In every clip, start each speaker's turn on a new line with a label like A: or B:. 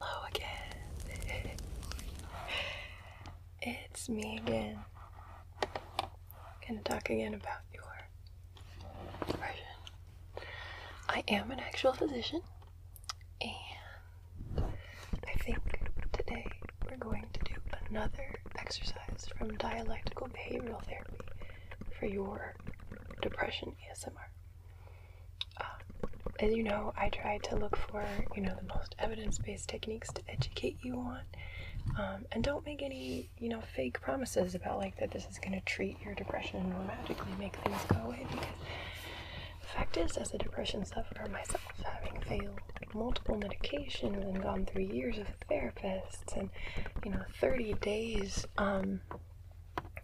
A: Hello again. it's me again. Gonna talk again about your depression. I am an actual physician, and I think today we're going to do another exercise from dialectical behavioral therapy for your depression ASMR as you know, I try to look for you know the most evidence-based techniques to educate you on, um, and don't make any you know fake promises about like that this is going to treat your depression and will magically make things go away. Because the fact is, as a depression sufferer myself, having failed multiple medications and gone through years of therapists and you know 30 days um,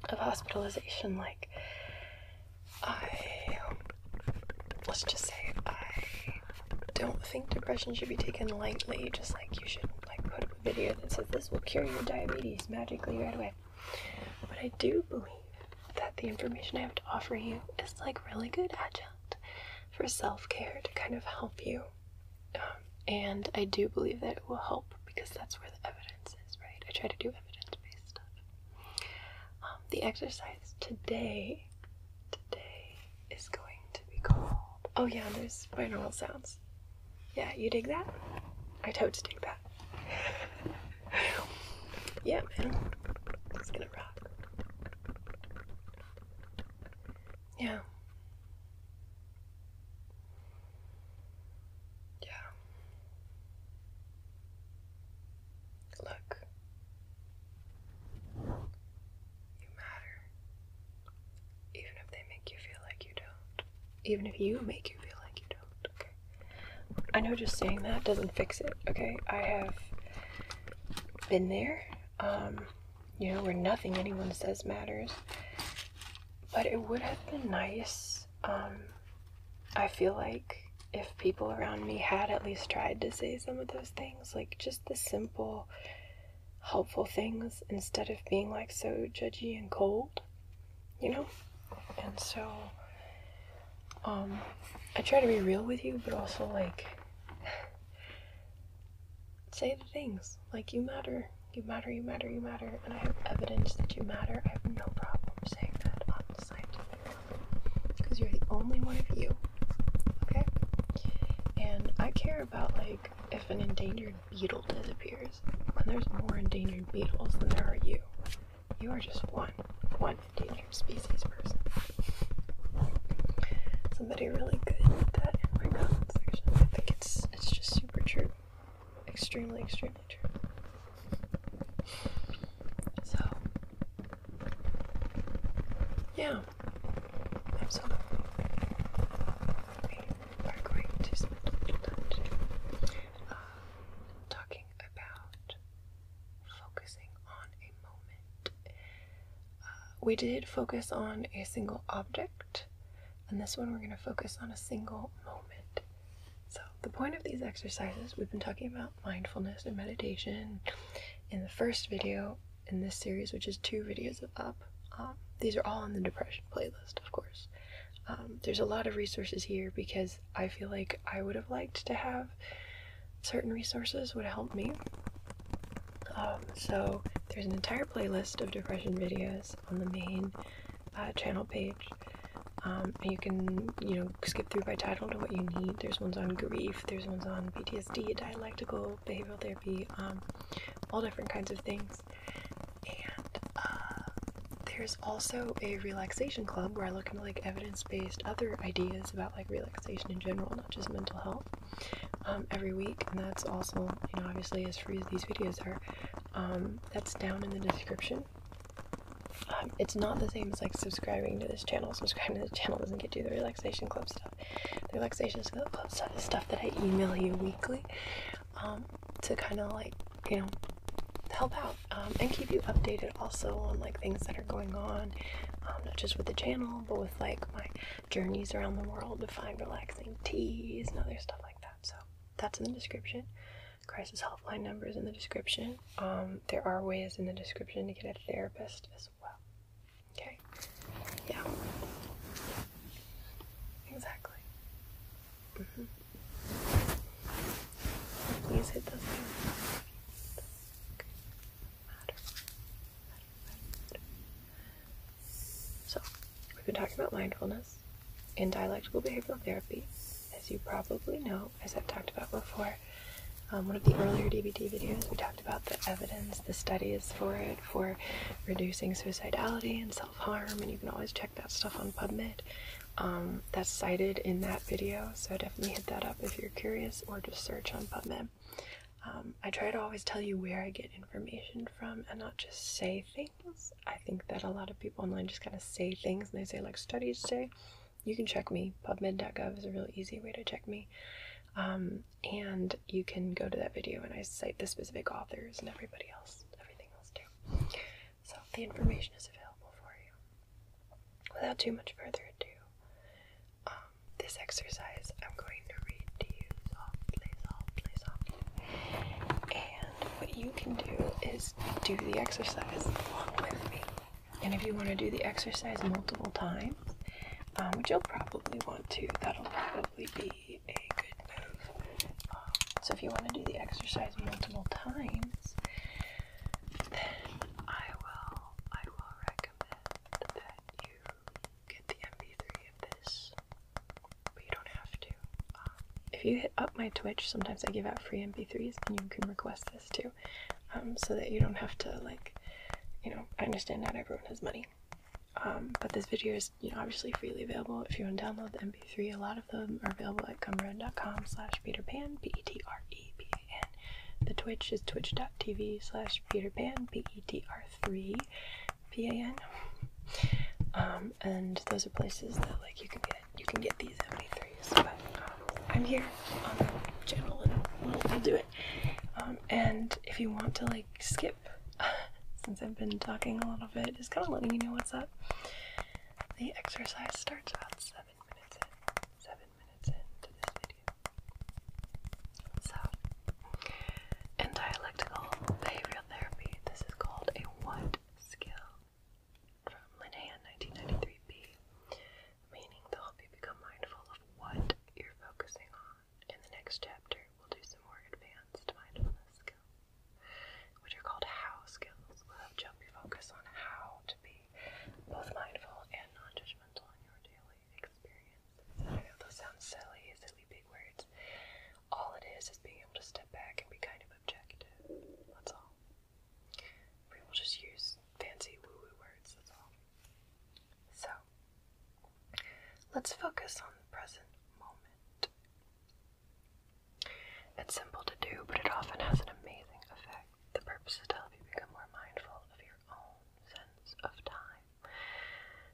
A: of hospitalization, like I let's just say I don't think depression should be taken lightly. Just like you shouldn't like put up a video that says this will cure your diabetes magically right away. But I do believe that the information I have to offer you is like really good adjunct for self-care to kind of help you. Um, and I do believe that it will help because that's where the evidence is, right? I try to do evidence-based stuff. Um, the exercise today, today is going to be called. Oh yeah, there's binaural sounds. Yeah, you dig that? I totally dig that. yeah, man, it's gonna rock. Yeah. Yeah. Look, you matter. Even if they make you feel like you don't. Even if you make you feel like you don't, okay? I know just saying that doesn't fix it, okay? I have been there, um, you know, where nothing anyone says matters. But it would have been nice um, I feel like if people around me had at least tried to say some of those things, like just the simple, helpful things, instead of being like so judgy and cold, you know? And so, um, I try to be real with you, but also like, say the things. Like, you matter. You matter, you matter, you matter. And I have evidence that you matter. I have no problem saying that because you're the only one of you. Okay? And I care about like if an endangered beetle disappears. When there's more endangered beetles than there are you. You are just one. One endangered species person. Somebody really good at that in my comment section. I think it's it's just super true extremely, extremely true. So, yeah, absolutely. We are going to spend uh, talking about focusing on a moment. Uh, we did focus on a single object, and this one we're going to focus on a single moment. So, the point of these exercises, we've been talking about mindfulness and meditation in the first video in this series, which is two videos up. Um, these are all on the depression playlist, of course. Um, there's a lot of resources here because I feel like I would have liked to have certain resources would help me. Um, so there's an entire playlist of depression videos on the main uh, channel page. Um, you can, you know, skip through by title to what you need. There's ones on grief, there's ones on PTSD, dialectical, behavioral therapy, um, all different kinds of things. And uh, there's also a relaxation club where I look into like evidence based other ideas about like relaxation in general, not just mental health, um, every week. And that's also, you know, obviously as free as these videos are. Um, that's down in the description. Um, it's not the same as like subscribing to this channel. Subscribing to the channel doesn't get you the relaxation club stuff. The relaxation club stuff is stuff that I email you weekly um, to kind of like you know help out um, and keep you updated also on like things that are going on, not just with the channel but with like my journeys around the world to find relaxing teas and other stuff like that. So that's in the description crisis hotline numbers in the description. Um, there are ways in the description to get a therapist as well. Okay? Yeah. Exactly. Mm-hmm. Please hit those So, we've been talking about mindfulness and dialectical behavioral therapy as you probably know, as I've talked about before, um, one of the earlier DVD videos, we talked about the evidence, the studies for it, for reducing suicidality and self harm, and you can always check that stuff on PubMed. Um, that's cited in that video, so definitely hit that up if you're curious, or just search on PubMed. Um, I try to always tell you where I get information from and not just say things. I think that a lot of people online just kind of say things and they say, like, studies say you can check me. PubMed.gov is a really easy way to check me. Um, and you can go to that video and I cite the specific authors and everybody else, everything else too. So the information is available for you. Without too much further ado, um, this exercise I'm going to read to you softly, softly, softly what you can do is do the exercise along with me. And if you want to do the exercise multiple times, um, which you'll probably want to, that'll probably be a good move. Um, so if you want to do the exercise multiple times, then I will I will recommend that you get the MP3 of this, but you don't have to if you hit up my Twitch, sometimes I give out free MP3s, and you can request this too, um, so that you don't have to like, you know, I understand not everyone has money, um, but this video is, you know, obviously freely available if you want to download the MP3. A lot of them are available at gumroad.com slash peterpan, P-E-T-R-E-P-A-N. The Twitch is twitch.tv slash peterpan, P-E-T-R-3, P-A-N. Um, and those are places that, like, you can get you can get these MP3s, but um, I'm here on the channel and we'll, do it. Um, and if you want to like skip, since I've been talking a little bit, just kind of letting you know what's up. The exercise starts about seven minutes in, seven minutes into this video. So, in dialectical behavioral therapy, this is called a what skill from Linehan 1993b, meaning to help you become mindful of what you're focusing on. In the next chapter, we'll do some more advanced mindfulness skills, which are called how skills. We'll have you focus on how to be both mindful and non judgmental in your daily experience. I know those sound silly, silly big words. All it is is being able to step back and be kind of objective. That's all. We will just use fancy woo woo words, So, let's focus on the present moment. It's simple to do, but it often has an amazing effect. The purpose is to help you become more mindful of your own sense of time.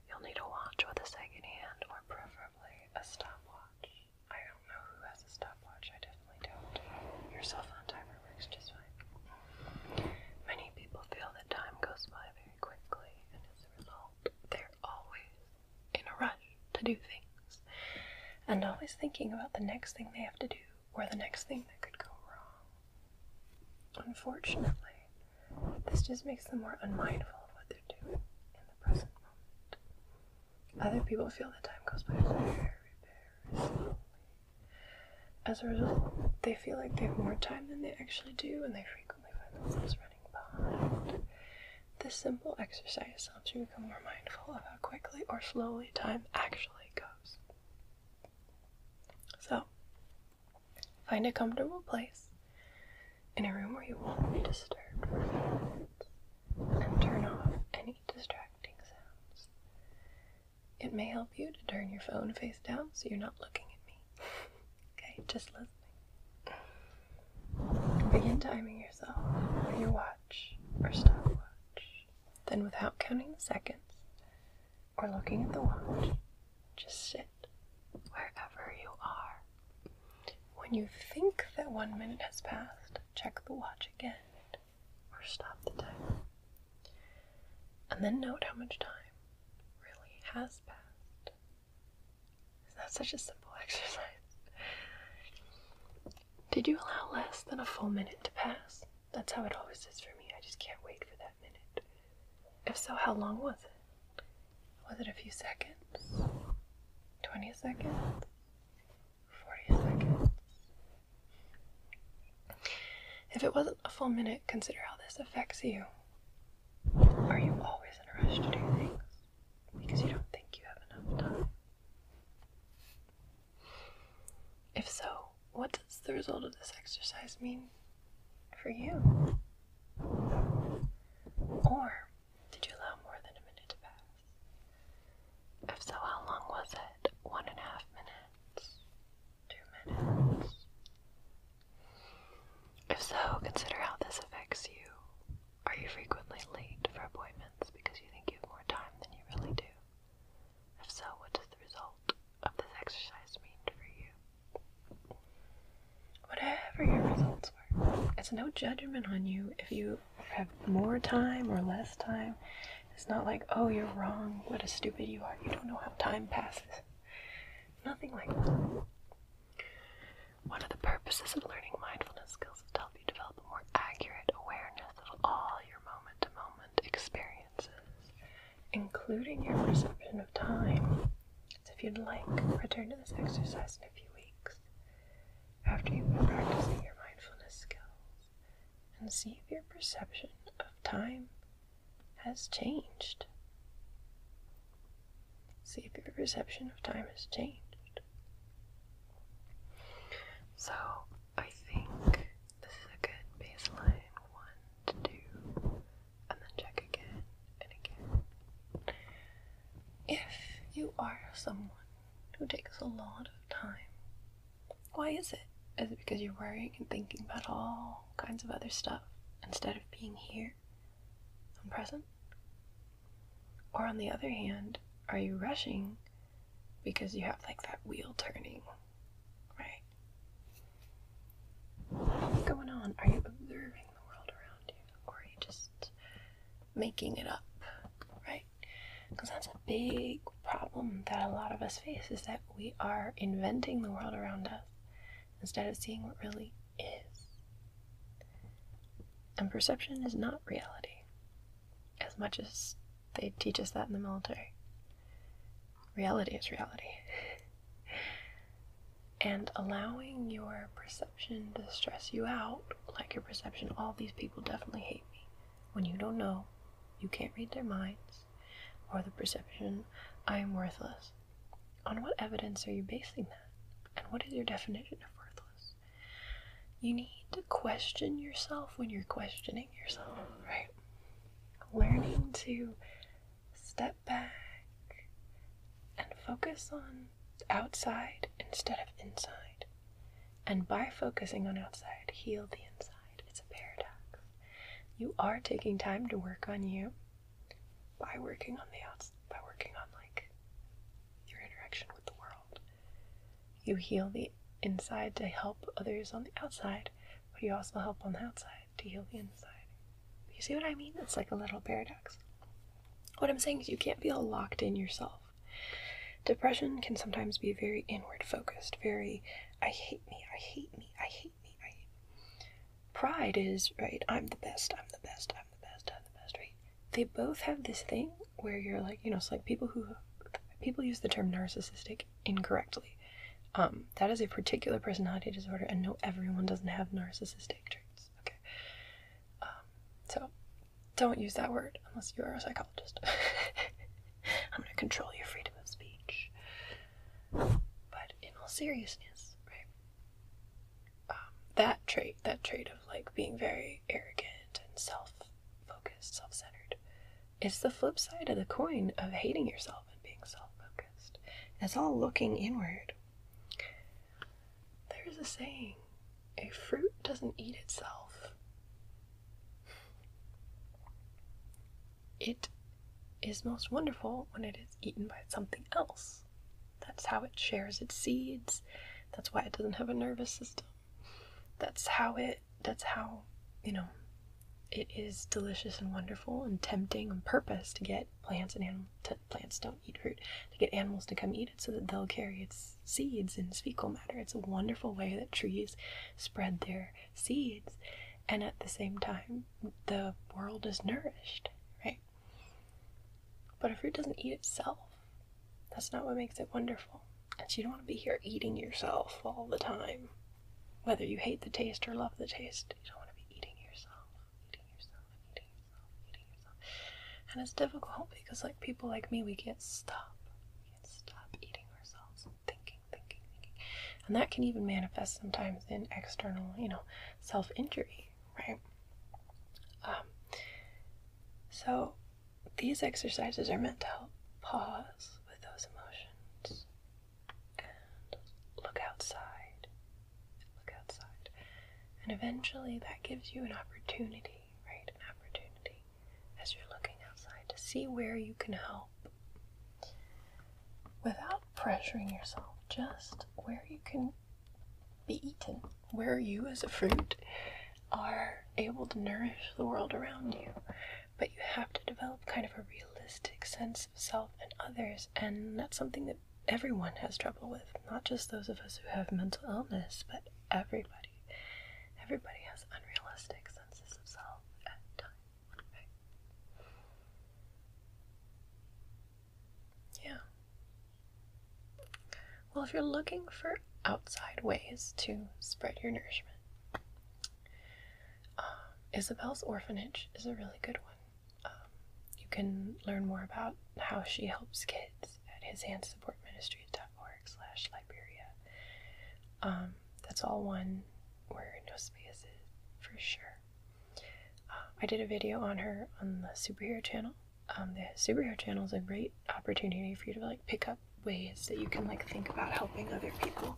A: You'll need a watch with a second hand, or preferably a stopwatch. I don't know who has a stopwatch. I definitely don't. Your cell phone timer works just fine. Many people feel that time goes by very quickly, and as a result, they're always in a rush to do things and always thinking about the next thing they have to do or the next thing that could go wrong. Unfortunately, this just makes them more unmindful of what they're doing in the present moment. Other people feel that time goes by very, very slowly. As a result, they feel like they have more time than they actually do, and they frequently find themselves running behind. This simple exercise helps you become more mindful of how quickly or slowly time actually goes. So, find a comfortable place in a room where you won't be disturbed for a few minutes and turn off any distracting sounds. It may help you to turn your phone face down so you're not looking at me. okay, just listen. Begin timing yourself with your watch or stopwatch. Then, without counting the seconds or looking at the watch, just sit wherever you are. When you think that one minute has passed, check the watch again or stop the timer. And then note how much time really has passed. Isn't that such a simple exercise? Did you allow less than a full minute to pass? That's how it always is for me. I just can't wait for that minute. If so, how long was it? Was it a few seconds? 20 seconds? 40 seconds. If it wasn't a full minute, consider how this affects you. Are you always in a rush to do things because you don't think you have enough time? If so, what does the result of this exercise mean for you? Or did you allow more than a minute to pass? If so, how long was it? One and a half minutes? Two minutes? If so, consider how this affects you. Are you frequently late for appointments because you think you have more time than you really do? If so, what does the result of this exercise mean for you? Whatever your results were, it's no judgment on you if you have more time or less time. It's not like, oh, you're wrong. What a stupid you are. You don't know how time passes. Nothing like that. One of the purposes of learning mindfulness skills is to help you develop a more accurate awareness of all your moment to moment experiences, including your perception of time. So, if you'd like, return to this exercise in a few weeks after you've been practicing your mindfulness skills and see if your perception of time has changed. See if your perception of time has changed. So, I think this is a good baseline one to do, and then check again and again. If you are someone who takes a lot of time. Why is it? Is it because you're worrying and thinking about all kinds of other stuff instead of being here and present? Or on the other hand, are you rushing because you have like that wheel turning, right? What's going on? Are you observing the world around you? Or are you just making it up, right? Because that's a big problem that a lot of us face is that we are inventing the world around us instead of seeing what really is. And perception is not reality, as much as they teach us that in the military. Reality is reality. and allowing your perception to stress you out, like your perception, all these people definitely hate me. When you don't know, you can't read their minds, or the perception I am worthless. On what evidence are you basing that? And what is your definition of worthless? You need to question yourself when you're questioning yourself, right? Learning to step back and focus on outside instead of inside. And by focusing on outside, heal the inside. It's a paradox. You are taking time to work on you by working on the outside, by working on like your interaction with the world. You heal the inside to help others on the outside, but you also help on the outside to heal the inside. You see what I mean? It's like a little paradox. What I'm saying is you can't be all locked in yourself. Depression can sometimes be very inward focused, very, I hate me, I hate me, I hate me, I Pride is, right, I'm the best, I'm the best, I'm the best, I'm the best, right? They both have this thing where you're like, you know, it's like people who, people use the term narcissistic incorrectly. Um, that is a particular personality disorder, and no, everyone doesn't have narcissistic traits. Okay. Um, so don't use that word unless you are a psychologist. I'm going to control your freedom of speech. But in all seriousness, right? Um, that trait, that trait of like being very arrogant and self focused, self centered, is the flip side of the coin of hating yourself and being self focused. It's all looking inward. There's a saying a fruit doesn't eat itself. It is most wonderful when it is eaten by something else. That's how it shares its seeds. That's why it doesn't have a nervous system. That's how it, that's how, you know, it is delicious and wonderful and tempting on purpose to get plants and animals, plants don't eat fruit, to get animals to come eat so that they'll carry its seeds and fecal matter. It's a wonderful way that trees spread their seeds, and at the same time, the world is nourished, right? But a fruit doesn't eat itself. That's not what makes it wonderful. And so you don't want to be here eating yourself all the time. Whether you hate the taste or love the taste, you don't want to be eating yourself, eating yourself, eating yourself, eating yourself. And it's difficult because, like people like me, we can't stop stop eating ourselves and thinking, thinking, thinking. And that can even manifest sometimes in external, you know, self injury, right? Um, so these exercises are meant to help pause with those emotions and look outside. Look outside. And eventually that gives you an opportunity, right? An opportunity as you're looking outside to see where you can help without pressuring yourself, just where you can be eaten, where you as a fruit are able to nourish the world around you. But you have to develop kind of a realistic sense of self and others, and that's something that everyone has trouble with, not just those of us who have mental illness, but everybody. Everybody has unrealistic senses of self at times, Yeah. Well, if you're looking for outside ways to spread your nourishment, um, Isabel's orphanage is a really good one. Um, you can learn more about how she helps kids at his Hand Support Ministries.org org Liberia. Um, that's all one Where no is for sure. Um, I did a video on her on the superhero channel. Um, the superhero channel is a great opportunity for you to like pick up ways that you can like think about helping other people.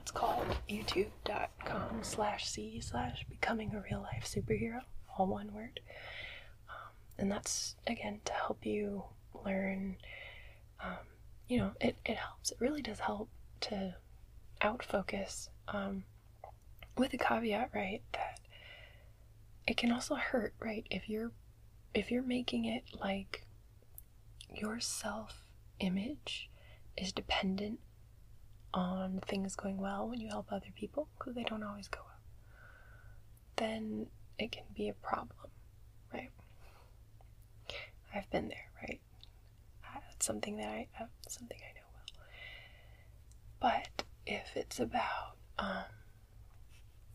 A: it's called youtube.com slash c slash becoming a real life superhero, all one word. and that's again to help you learn um, you know it, it helps it really does help to out focus um, with a caveat right that it can also hurt right if you're if you're making it like your self image is dependent on things going well when you help other people because they don't always go well then it can be a problem, right? I've been there, right? That's uh, something that I uh, something I know well. But if it's about, um,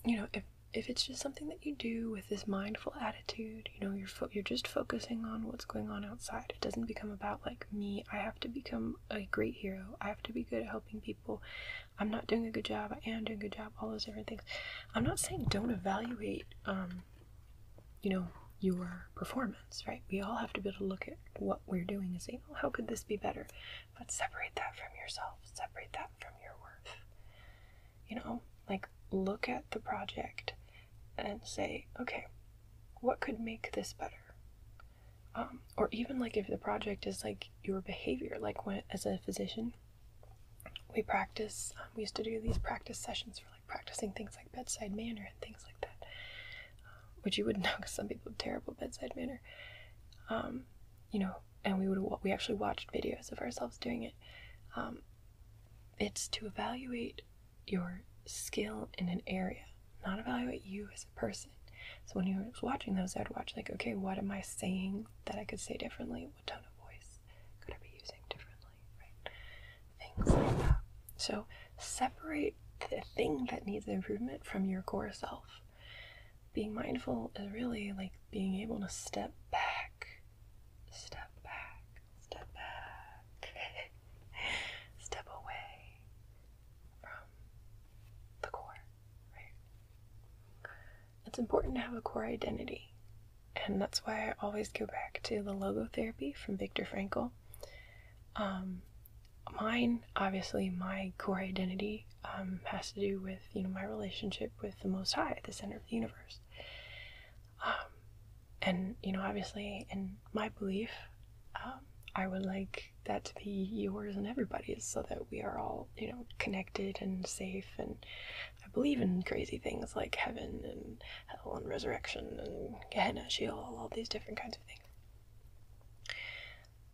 A: you know, if if it's just something that you do with this mindful attitude, you know, you're you're just focusing on what's going on outside. It doesn't become about like me. I have to become a great hero. I have to be good at helping people. I'm not doing a good job, I am doing a good job, all those different things. I'm not saying don't evaluate, um, you know, your performance, right? We all have to be able to look at what we're doing and say, oh, how could this be better? But separate that from yourself, separate that from your worth. You know, like look at the project and say, okay, what could make this better? Um, or even like if the project is like your behavior like when as a physician we practice, um, we used to do these practice sessions for like practicing things like bedside manner and things like that, um, which you wouldn't know because some people have terrible bedside manner. Um, you know, and we would we actually watched videos of ourselves doing it. it's to evaluate your skill in an area, not evaluate you as a person. So when you were watching those, I'd watch like, okay, what am I saying that I could say differently? What tone of voice could I be using differently? Right? Things like that. So separate the thing that needs improvement from your core self. Being mindful is really like being able to step back, step back, step back, step away from the core, right? it's important to have a core identity. And that's why I always go back to the logo therapy from Viktor Frankl. Um, mine, obviously, my core identity um, has to do with you know my relationship with the Most High, the center of the universe. Um, and you know, obviously, in my belief, I would like that to be yours and everybody's, so that we are all you know, connected and safe. And I believe in crazy things like heaven and hell and resurrection and Gehenna, Sheol, all these different kinds of things.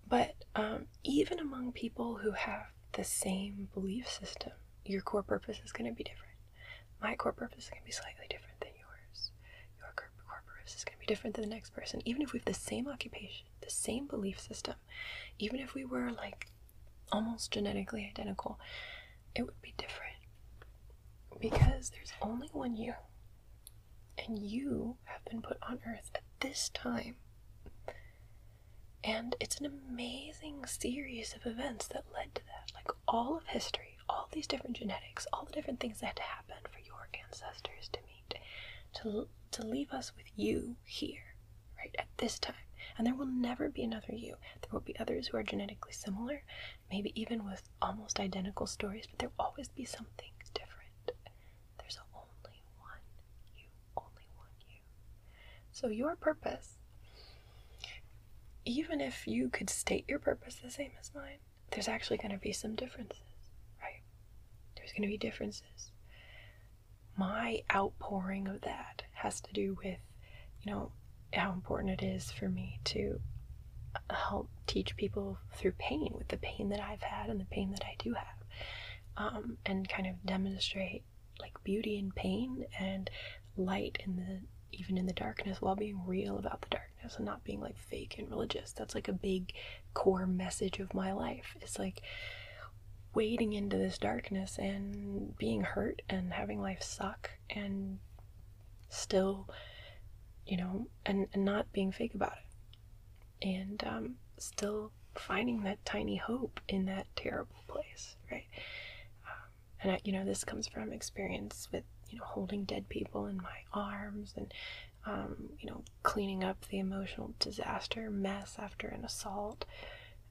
A: But um, even among people who have the same belief system, your core purpose is going to be different. My core purpose is going to be slightly different than yours. Your core purpose is going to be different than the next person. Even if we have the same occupation, the same belief system, even if we were like almost genetically identical, it would be different because there's only one you, and you have been put on earth at this time. And it's an amazing series of events that led to that. Like all of history, all these different genetics, all the different things that had to happen for your ancestors to meet, to, to leave us with you here, right, at this time. And there will never be another you. There will be others who are genetically similar, maybe even with almost identical stories, but there will always be something different. There's only one you, only one you. So, your purpose, even if you could state your purpose the same as mine, there's actually going to be some differences, right? There's going to be differences my outpouring of that has to do with, you know, how important it is for me to help teach people through pain with the pain that I've had and the pain that I do have. Um, and kind of demonstrate like beauty in pain and light in the even in the darkness while being real about the darkness and not being like fake and religious that's like a big core message of my life it's like wading into this darkness and being hurt and having life suck and still you know and, not being fake about it and um, still finding that tiny hope in that terrible place right um, and you know this comes from experience with you know holding dead people in my arms and um, you know cleaning up the emotional disaster mess after an assault.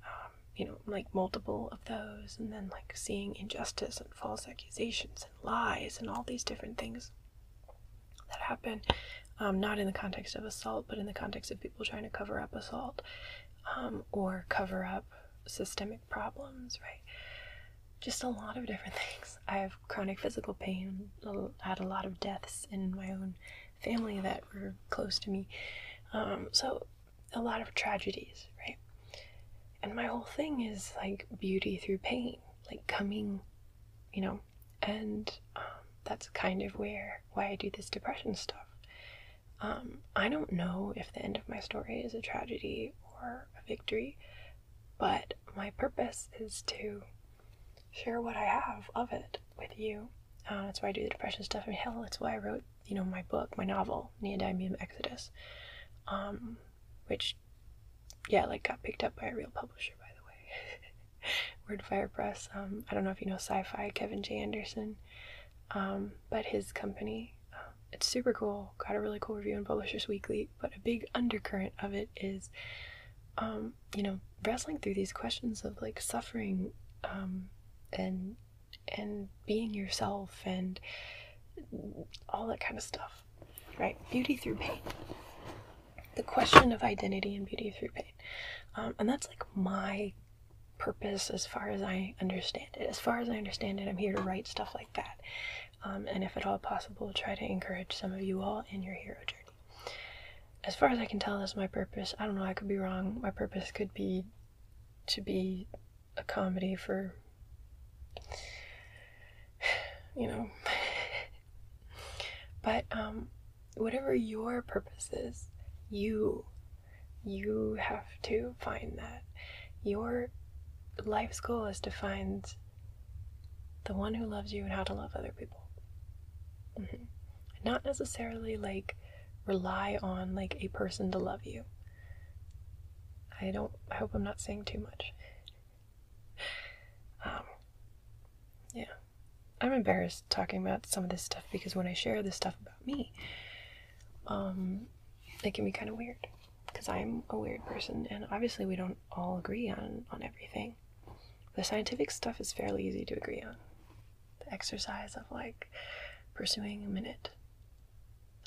A: Um, you know, like multiple of those, and then like seeing injustice and false accusations and lies and all these different things that happen, um, not in the context of assault, but in the context of people trying to cover up assault um, or cover up systemic problems, right? Just a lot of different things. I have chronic physical pain, I had a lot of deaths in my own family that were close to me. Um, so, a lot of tragedies, right? And my whole thing is like beauty through pain, like coming, you know, and um, that's kind of where why I do this depression stuff. Um, I don't know if the end of my story is a tragedy or a victory, but my purpose is to share what I have of it with you. Uh, that's why I do the depression stuff. I hell, that's why I wrote, you know, my book, my novel, Neodymium Exodus, um, which, yeah, like got picked up by a real publisher, by the way. Wordfire Press. Um, I don't know if you know sci-fi Kevin J. Anderson, um, but his company, uh, it's super cool. Got a really cool review in Publishers Weekly. But a big undercurrent of it is you know, wrestling through these questions of like suffering um, and and being yourself and all that kind of stuff, right? Beauty through pain. The question of identity and beauty through pain. Um, and that's like my purpose as far as I understand it. As far as I understand it, I'm here to write stuff like that. Um, and if at all possible, try to encourage some of you all in your hero journey as far as I can tell, that's my purpose. I don't know, I could be wrong. My purpose could be to be a comedy for, you know. but um, whatever your purpose is, you, you have to find that. Your life's goal is to find the one who loves you and how to love other people. Mm-hmm. Not necessarily like rely on like a person to love you. I don't, I hope I'm not saying too much. Um, yeah. I'm embarrassed talking about some of this stuff because when I share this stuff about me, um, it can be kind of weird because I'm a weird person and obviously we don't all agree on, on everything. The scientific stuff is fairly easy to agree on the exercise of like pursuing a minute.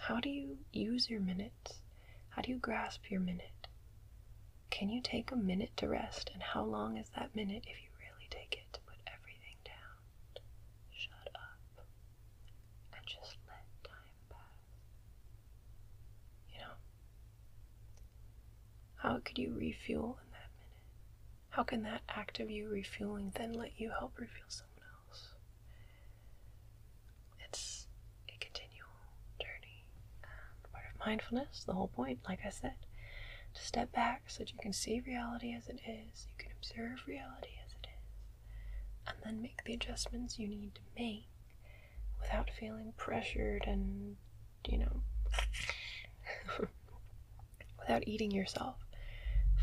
A: How do you use your minutes? How do you grasp your minute? Can you take a minute to rest? And how long is that minute if you really take it to put everything down? Shut up and just let time pass. You know? How could you refuel in that minute? How can that act of you refueling then let you help refuel someone else? It's a continual journey um, part of mindfulness, the whole point, like I said, to step back so that you can see reality as it is, you can observe reality as it is, and then make the adjustments you need to make without feeling pressured and you know, without eating yourself.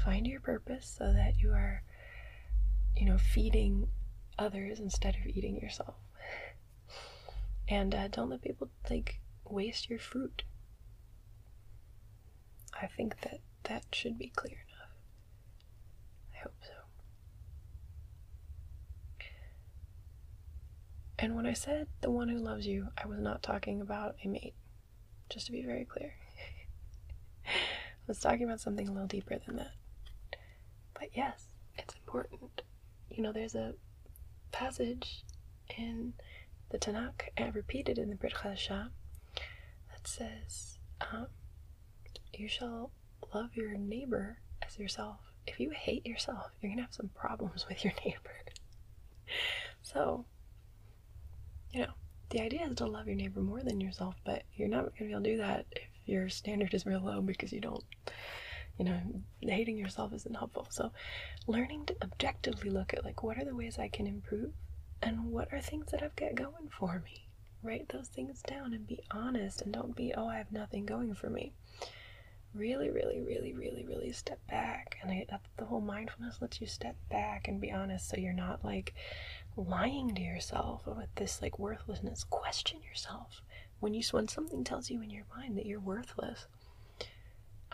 A: Find your purpose so that you are, you know, feeding others instead of eating yourself. And uh, don't let people, like, waste your fruit. I think that that should be clear enough. I hope so. And when I said the one who loves you, I was not talking about a mate, just to be very clear. I was talking about something a little deeper than that. But yes, it's important. You know, there's a passage in the Tanakh, and repeated in the Brit Chadashah, that says, um, You shall love your neighbor as yourself. If you hate yourself, you're going to have some problems with your neighbor. So, you know, the idea is to love your neighbor more than yourself, but you're not going to be able to do that if your standard is real low because you don't, you know, hating yourself isn't helpful. So, learning to objectively look at like what are the ways I can improve and what are things that I've got going for me. Write those things down and be honest and don't be, oh, I have nothing going for me really, really, really, really, really step back. And the whole mindfulness lets you step back and be honest so you're not like lying to yourself with this like worthlessness. Question yourself. When you when something tells you in your mind that you're worthless,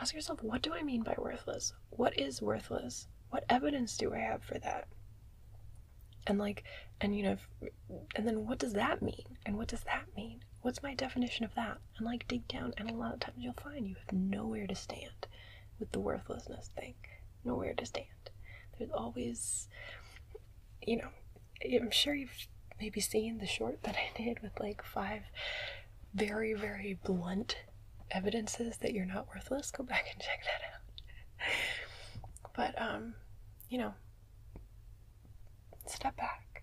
A: ask yourself, what do I mean by worthless? What is worthless? What evidence do I have for that? And like, and you know, and then what does that mean? And what does that mean? What's my definition of that? And like dig down, and a lot of times you'll find you have nowhere to stand with the worthlessness thing. Nowhere to stand. There's always, you know, I'm sure you've maybe seen the short that I did with like five very, very blunt evidences that you're not worthless. Go back and check that out. but, um, you know, step back.